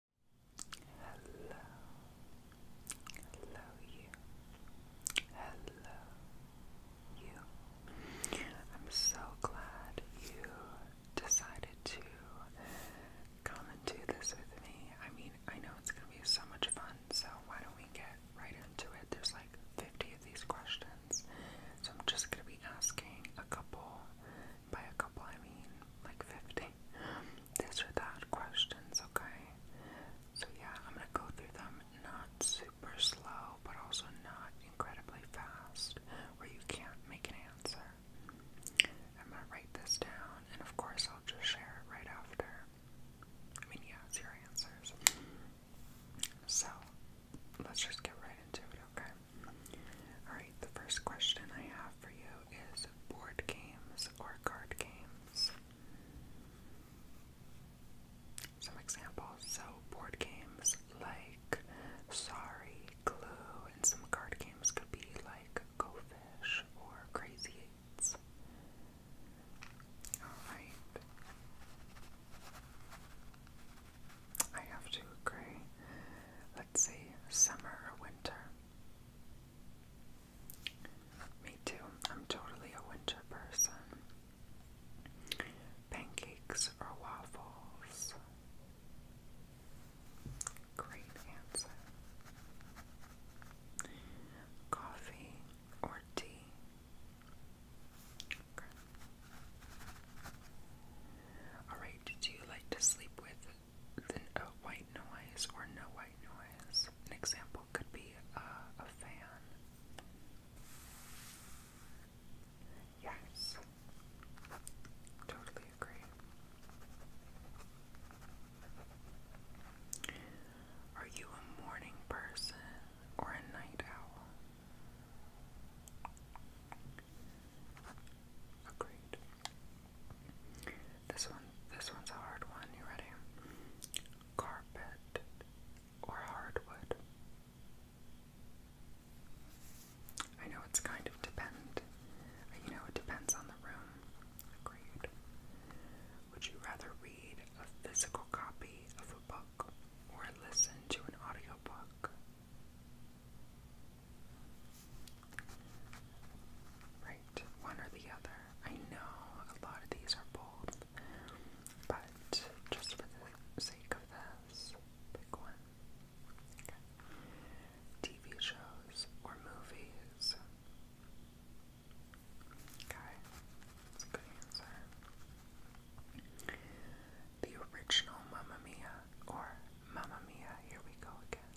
Hello, hello you, hello you. I'm so glad you decided to come and do this with me. I mean, I know it's gonna be so much fun, so why don't we get right into it? There's like 50 of these questions, so I'm just gonna be asking a couple by a couple, I mean like 50. These are that questions, okay? So, yeah, I'm gonna go through them not super slow, but also not incredibly fast where you can't make an answer. I'm gonna write this down, and of course, I'll just share it right after. I mean, yeah, it's your answers. So, let's just get right into it, okay? Alright, the first question I have for you is board games or card games. Some examples so, board games like Sorry, Glue, and some card games could be like Go Fish or Crazy Eights. Alright. I have to agree. Let's see, summer or winter. Me too. I'm totally a winter person. Pancakes or waffles? Great answer. Coffee or tea? Alright, do you like to sleep with than white noise or no white noise. An example could be uh, a fan. Yes, totally agree. Are you a morning person or a night owl? Agreed. This one, this one's a hard one. You ready? Carpet or hardwood? I know it's kind of depend. You know, it depends on the room. Agreed. Would you rather read a physical copy of a book or listen to an audiobook? Right, one or the other. I know a lot of these are both, but just for the sake of this, pick one. Okay. TV shows or movies. Okay, that's a good answer. The original Mamma Mia or Mamma Mia, here we go again.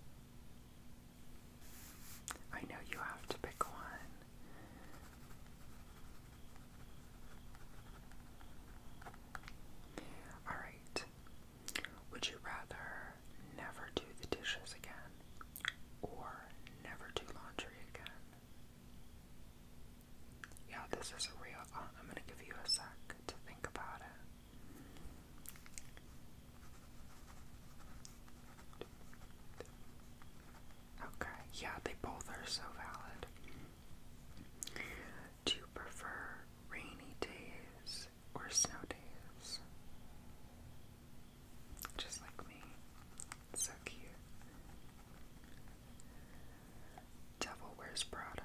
I know you have to pick one. Alright. Would you rather never do the dishes again or never do laundry again? Yeah, this is real. Uh, I'm going to give you a sec to think about it. Okay, yeah, they both are so valid. Do you prefer rainy days or snow days? Just like me. So cute. Devil Wears Prada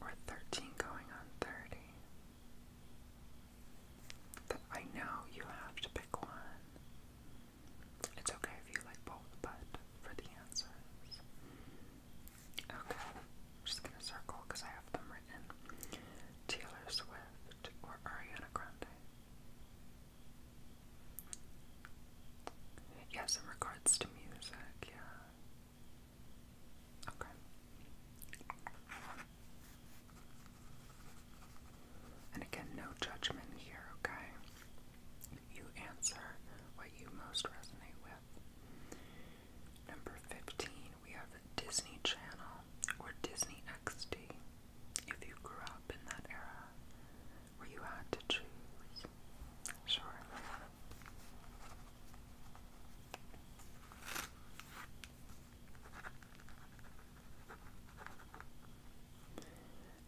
or 13 going on 30. I know you have to pick one. It's okay if you like both, but for the answers. Okay, just gonna circle because I have them written. Taylor Swift or Ariana Grande? Yes, in regards to music, yeah. Okay. And again, no judgment here, okay? You answer what you most resonate with. Number 15, we have Disney Channel or Disney XD. If you grew up in that era where you had to choose, sure.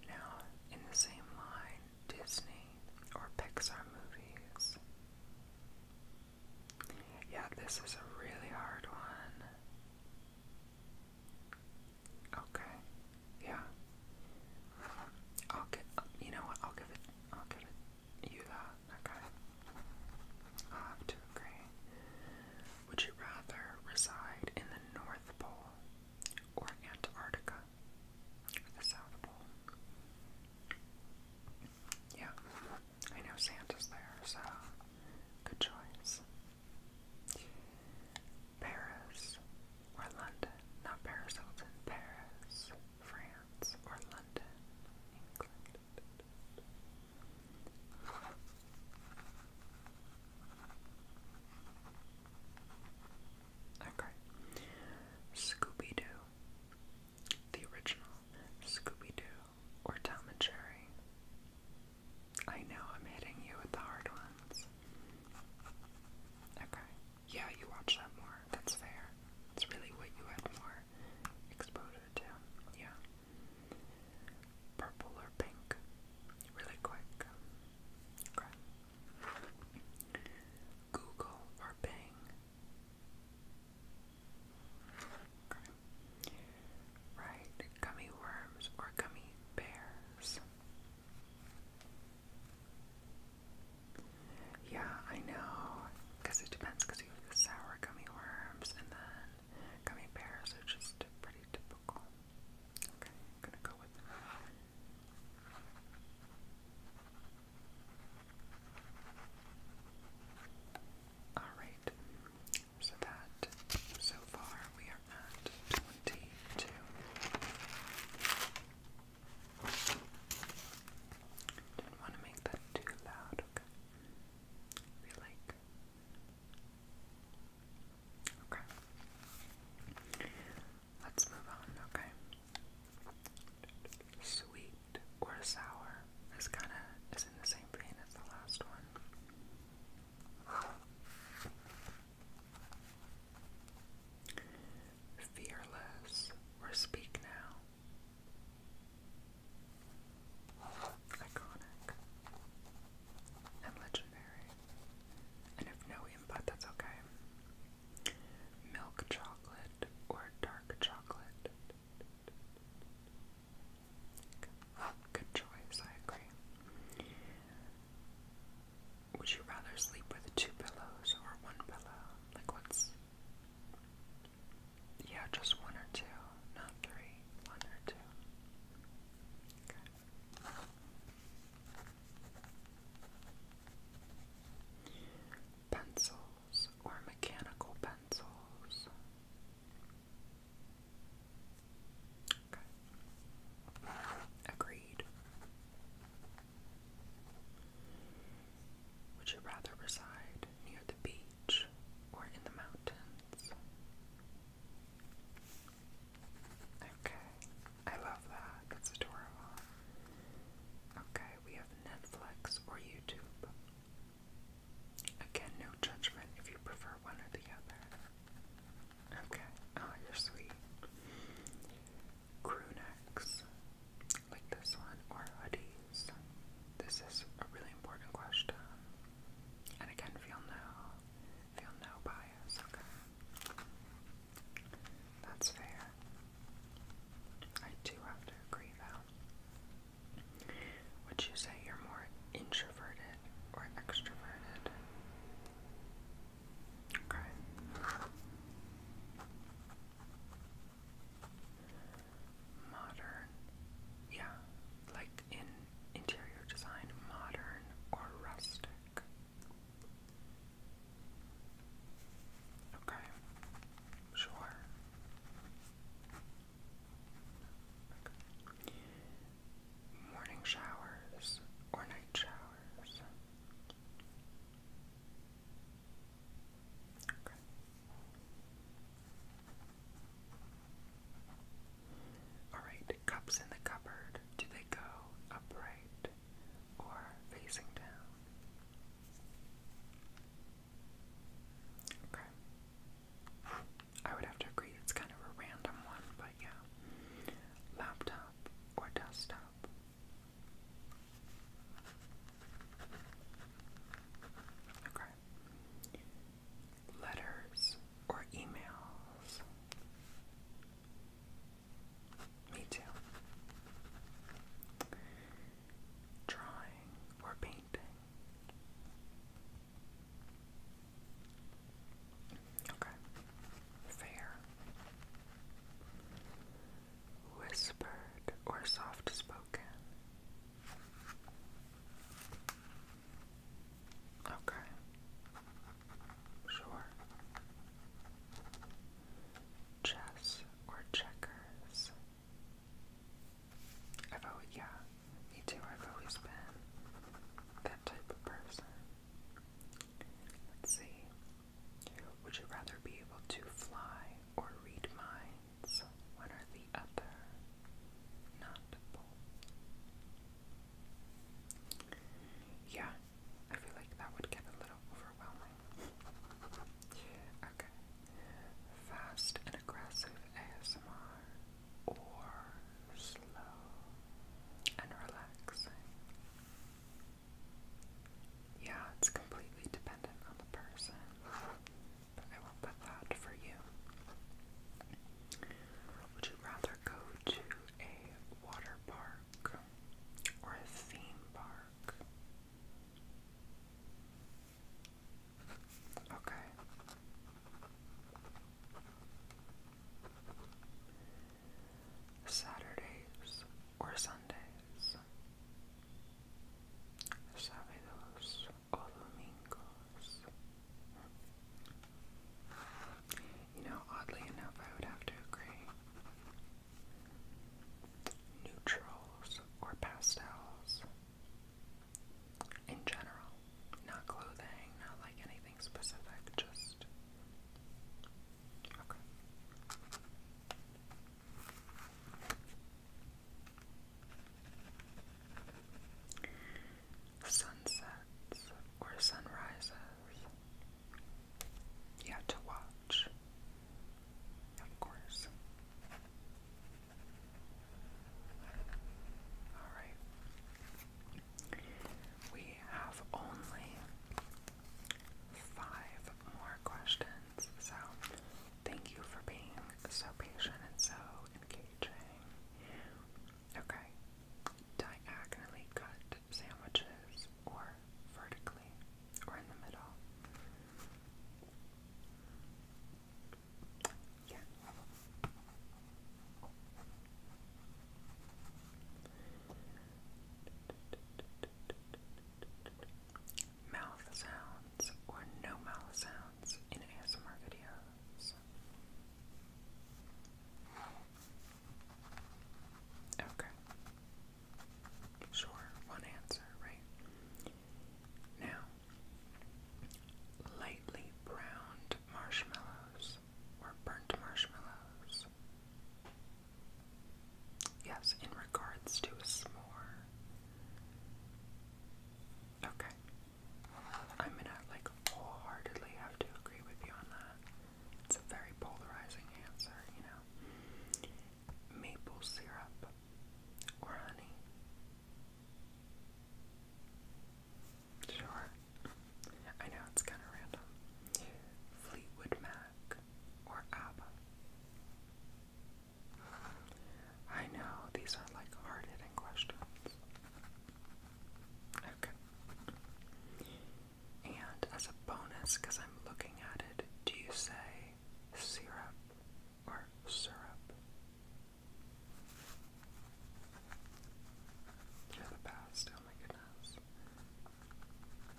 Now, in the same line, Disney or Pixar movies. Yeah, this is a really hard one. Okay. Yeah. I'll get you know what? I'll give it I'll give it you that okay. i have to agree. Would you rather reside in the North Pole or Antarctica? The South Pole. Yeah, I know Santa's there, so good choice. Paris or London? Not Paris Hilton, Paris. France, or London, England. Okay. Scooby Doo. The original Scooby Doo or Tom and Jerry. I know I'm hitting you with the hard ones. Okay yeah, you watch that more. That's fair. That's really what you had more exposure to. Yeah. Purple or pink? Really quick. Okay. Google or Bing? Okay. Right. Gummy worms or gummy bears? Yeah, I know. Because it depends, because you have the sour gummy worms and then gummy bears are just pretty typical. Okay, gonna go with that. Alright, so that, so far we are at 22. Didn't want to make that too loud, I feel like. Okay. Let's move on, okay? Sweet or sour is kind of is in the same vein as the last one. Fearless, or Speak Now. Iconic. And legendary. And if no input, that's okay. Milk chocolate or dark chocolate. Good choice, I agree. Would you rather sleep with two pillows or one pillow? Like, what's yeah, just one or two, not three. One or two. Okay. Pencils or mechanical pencils. Okay. Agreed. Would you rather reside near the beach or in the mountains? Okay, I love that. That's adorable. Okay, we have Netflix or YouTube. Again, no judgment if you prefer one or the other. Okay, oh, you're sweet crew like this one or hoodies? This is a really important question. And again, feel no, feel no bias, okay? That's fair. I do have to agree though. Would you say you're more introverted or extroverted? Okay. Modern. Yeah, like in interior design, modern or rustic. Okay, sure. Morning showers or night showers? Okay. Alright, cups in the cupboard. Do they go upright or facing down? Okay. I would have to agree it's kind of a random one, but yeah. Laptop or desktop? Letters or emails? Me too. Drawing or painting? Okay. Fair whispered, or soft spoken. Okay. Sure. Chess or checkers. I've always, yeah, me too. I've always been that type of person. see. Would you rather be able to fly or read minds? One or the other. Not both. Yeah, I feel like that would get a little overwhelming. okay. Fast and aggressive ASMR or slow and relaxing. Yeah, it's completely dependent on the person. I will put that for you. Would you rather go to a water park or a theme park? Okay. Saturdays or Sundays. Sábados o domingos. You know, oddly enough, I would have to agree. Neutrals or pastels. In general, not clothing, not like anything specific, just Okay. Sunsets or sunrises. Yeah, to watch. Of course. Alright. We have only five more questions. So, thank you for being so patient and so engaging. Okay, diagonally cut sandwiches or vertically or in the middle. Yeah mouth sounds or no mouth sounds in ASMR videos. Okay. Sure, one answer, right? Now, lightly browned marshmallows or burnt marshmallows Yes. in regards to a s'more. Okay. I'm gonna like wholeheartedly have to agree with you on that. It's a very polarizing answer, you know. Maple syrup or honey? Sure. I know it's kind of random. Fleetwood Mac or ABBA. I know these are like hard hitting questions. Okay. And as a bonus, because I'm looking at it, do you say syrup or syrup? You're the best, oh my goodness.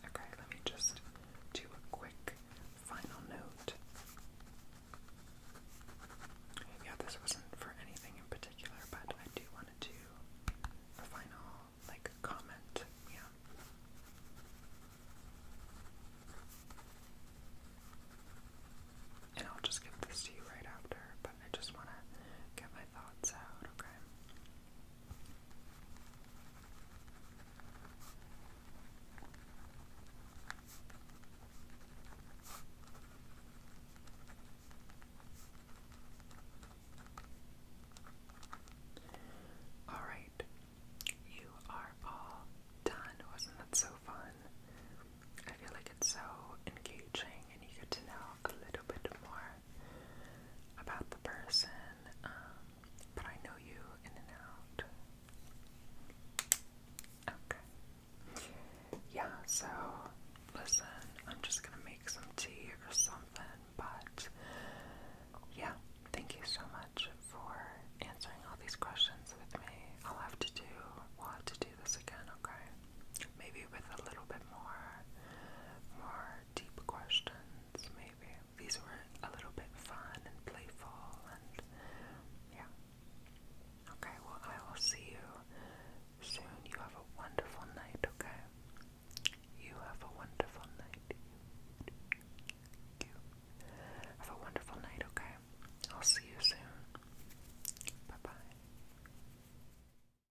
Okay, let me just do a quick final note. Yeah, this wasn't for anything in particular, but I do want to a final like comment. Yeah. And I'll just give this to you right after, but I just want to get my thoughts out, okay? All right, you are all done. Wasn't that so fun? I feel like it's so engaging, and you get to know a little bit more about the person, um, but I know you in and out. Okay. Yeah, so listen, I'm just gonna make some tea or something, but yeah, thank you so much for answering all these questions with me. I'll have to do, we'll have to do this again, okay? Maybe with a little bit more, more deep questions, maybe. These were a little bit fun and playful, and yeah. Okay, well, I will see you soon. You have a wonderful night, okay? You have a wonderful night. You have a wonderful night, okay? I'll see you soon. Bye bye.